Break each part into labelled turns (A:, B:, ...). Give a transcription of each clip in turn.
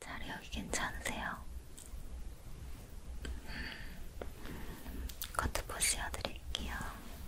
A: 자리 여기 괜찮으세요? 음, 커트 포 씌워드릴게요.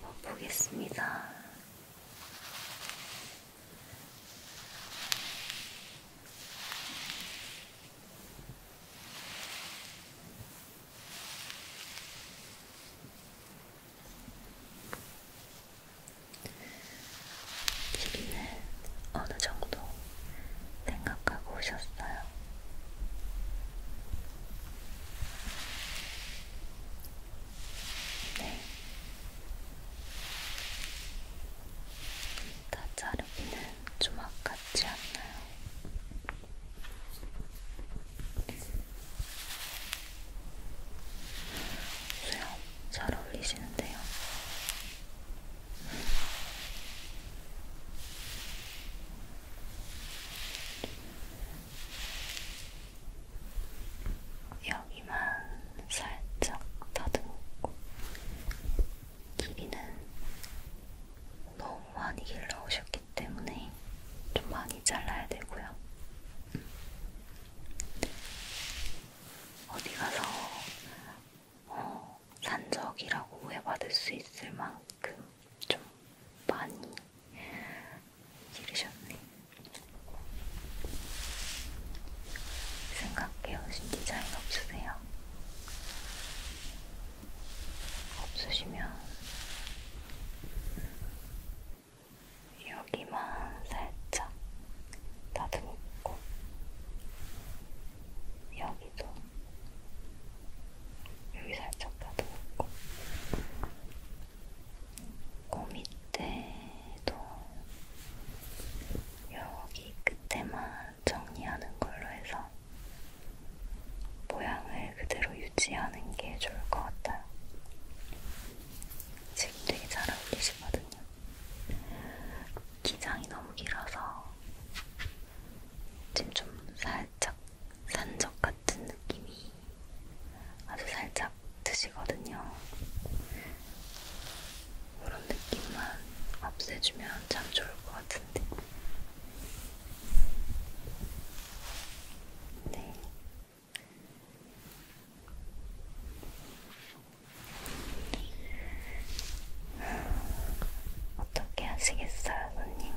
A: 한번 보겠습니다. 길이는 어느 정도 생각하고 오셨어요? 네. 다 자르기는 주막 같지 않나요? 수염 잘 어울리시는데요. 여기만 살짝 다듬고 길이는 너무 많이 길러오셨기 때문에 좀 많이 잘라야 되고요. 어디 가서 어, 산적이라고 오해받을 수 있을 만큼 좀 많이 지르셨네. 생각해오신 디자인 없으세요? 없으시면 여기만 살짝 다듬고 여기도 여기 살짝 다듬고 코 그 밑에도 여기 끝에만 정리하는 걸로 해서 모양을 그대로 유지하는 게 좋을 것 같아요. 지금 되게 잘 어울리시거든요. 기장이 너무 길어서 지금 좀 살짝 산적 같은 같은 느낌이 아주 살짝 드시거든요. 그런 느낌만 없애주면 참 좋을 것 같은데. 네. 어떻게 하시겠어요, 손님?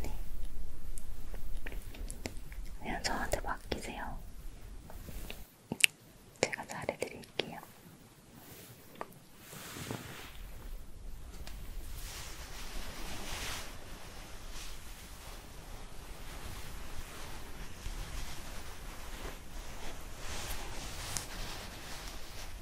A: 네. 그냥 저한테 맡기세요. 제가 잘해드릴게요. 네.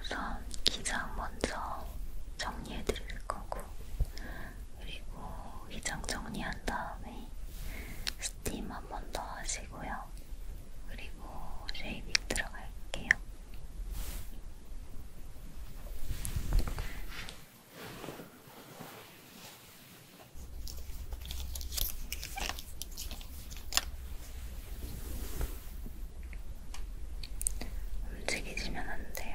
A: 우선 기장 먼저 정리해 드릴 거고, 그리고 기장 정리한 다음에 스팀 한 번 더 하시고요. 그리고 쉐이빙 들어갈게요. 움직이시면 안 돼요.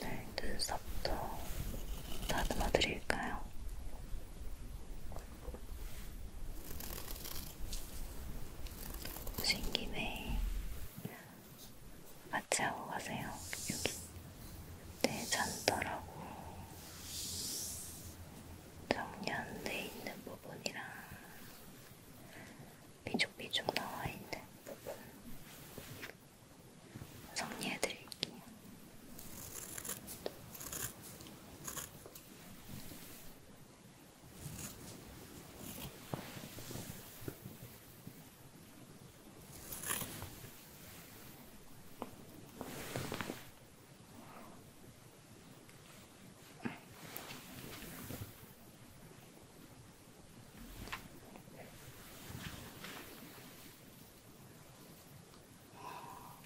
A: 네, 눈썹도 다듬어 드릴까요? 오신 김에 마취하고 가세요. 여기. 네, 잔더라고. 정리안돼 있는 부분이랑 삐죽삐죽 나와 있는 부분 정리해드릴게요.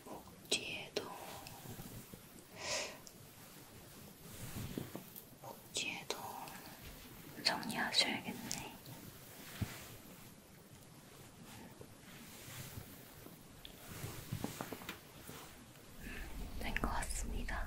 A: 목 뒤에도 목 뒤에도 정리하셔야겠네. 된것 같습니다.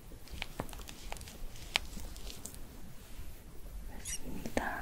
A: 맞습니다.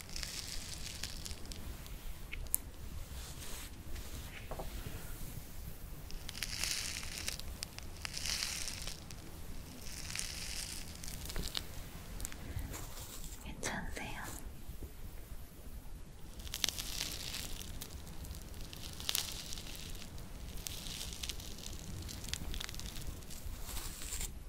A: 괜찮으세요?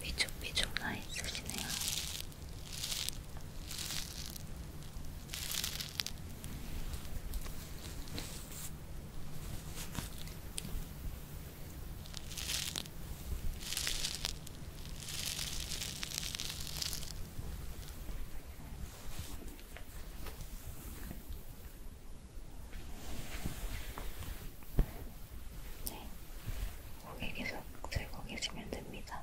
A: 삐죽삐죽 나 있으시네요. 네, 고개 계속 들고 계시면 됩니다.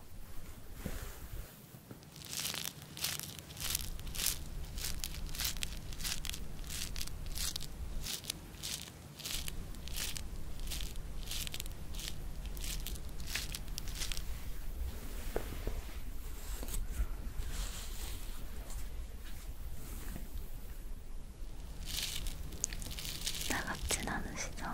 A: 나같진 않으시죠?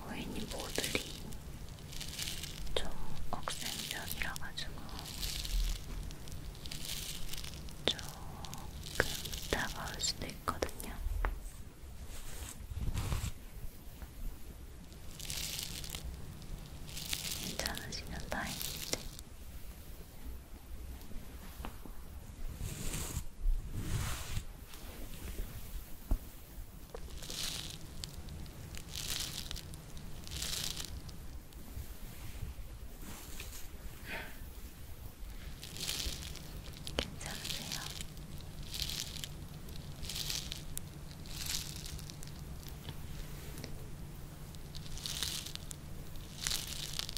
A: 고객님 모들이 좀 억센면이라 가지고 조금 따가울 수도 있거든요. 괜찮으시면 다행인데. 괜찮으세요?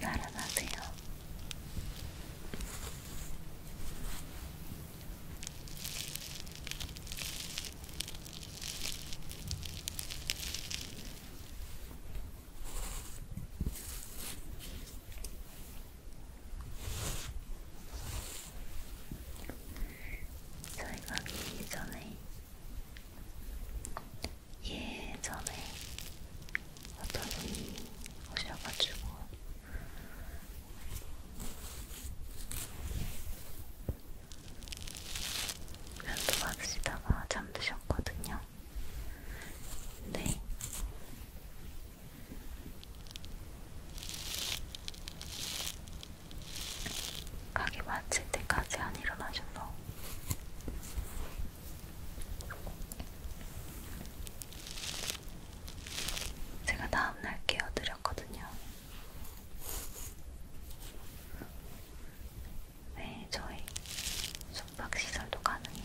A: 날아가세요. 저희가 예전에 예전에 어떤 분이 오셔가지고 면도 받으시다가 잠드셨거든요. 네. 가게 마칠 때까지 안 일어나셔서 제가 다음날 깨워드렸거든요. 네, 저희 숙박시설도 가능해요.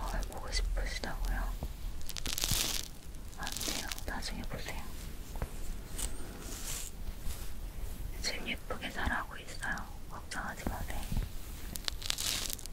A: 어, 보고 싶으시다고요? 안 돼요. 나중에 보세요. 지금 예쁘게 자라고 있어요. 걱정하지 마세요.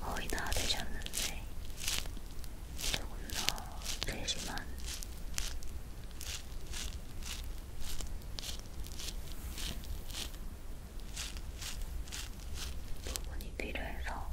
A: 거의 다 되셨는데 조금 더 되지만 부분이 필요해서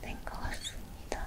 A: 된것 네. 같습니다.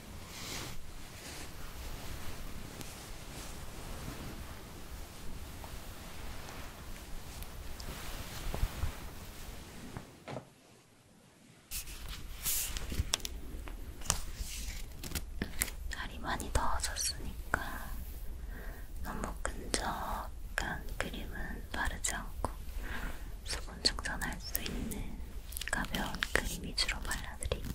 A: 날이 많이 더워졌으니까 너무 끈적한 크림은 바르지 않고 수분 증산할 수 있는 가벼운 크림 그 위주로 발라드릴게요.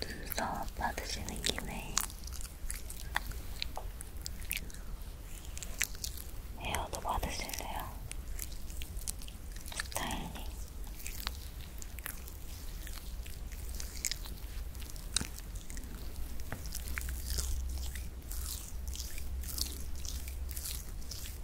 A: 눈썹 받으시는 김에 헤어도 받으실래요? 스타일링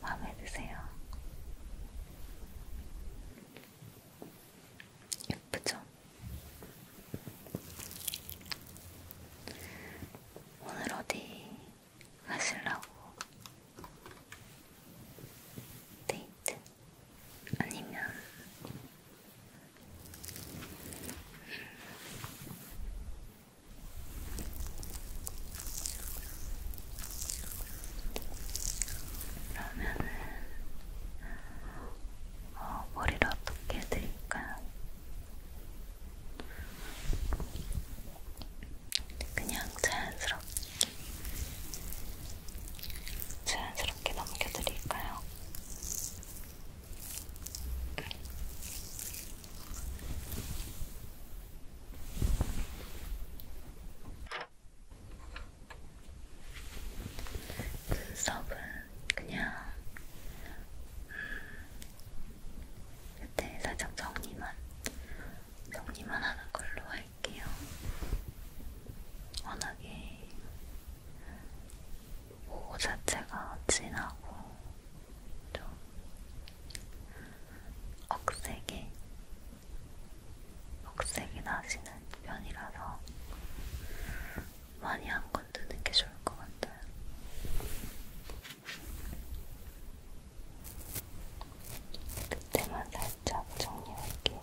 A: 마음에 드세요? 예쁘죠? 오늘 어디 가실라고? 데이트? 아니면 그러면은 어, 머리를 어떻게 해드릴까요? 그냥 자연스럽게 자연스럽게 넘겨드릴까요? 눈썹은 그냥 그때 음, 살짝 정리만 정리만 하는 걸로 할게요. 워낙에 오 자체가 진하고 좀 억색이 억색이 나시는 편이라서 많이 안 건드는 게 좋을 것 같아요. 그때만 살짝 정리할게요.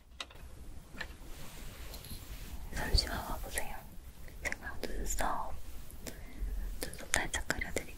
A: 잠시만 와보세요. 제가 눈썹, 눈썹 살짝 그려드릴게요.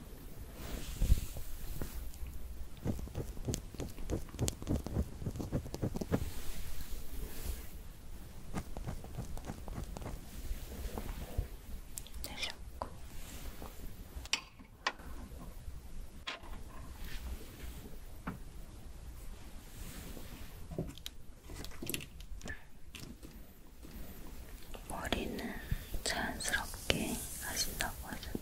A: 내셨고 머리는 자연스럽게 가볍게 하신다고 하셨죠?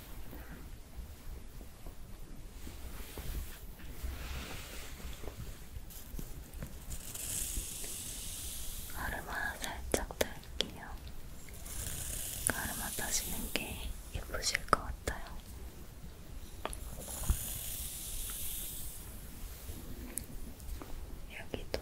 A: 가르마 살짝 달게요. 가르마 따시는 게 예쁘실 것 같아요. 여기도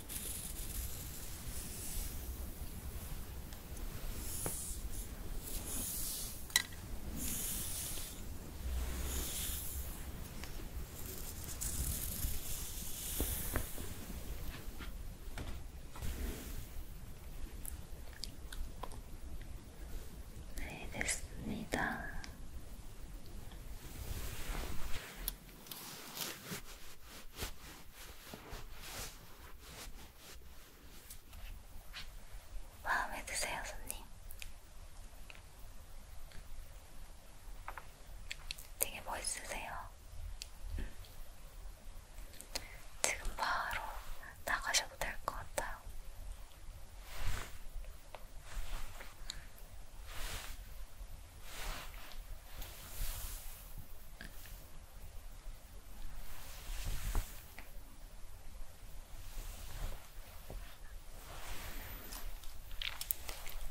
A: 네, 됐습니다. 마음에 드세요, 손님? 되게 멋있으세요. 음. 지금 바로 나가셔도 될 것 같아요.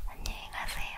A: 안녕히 가세요.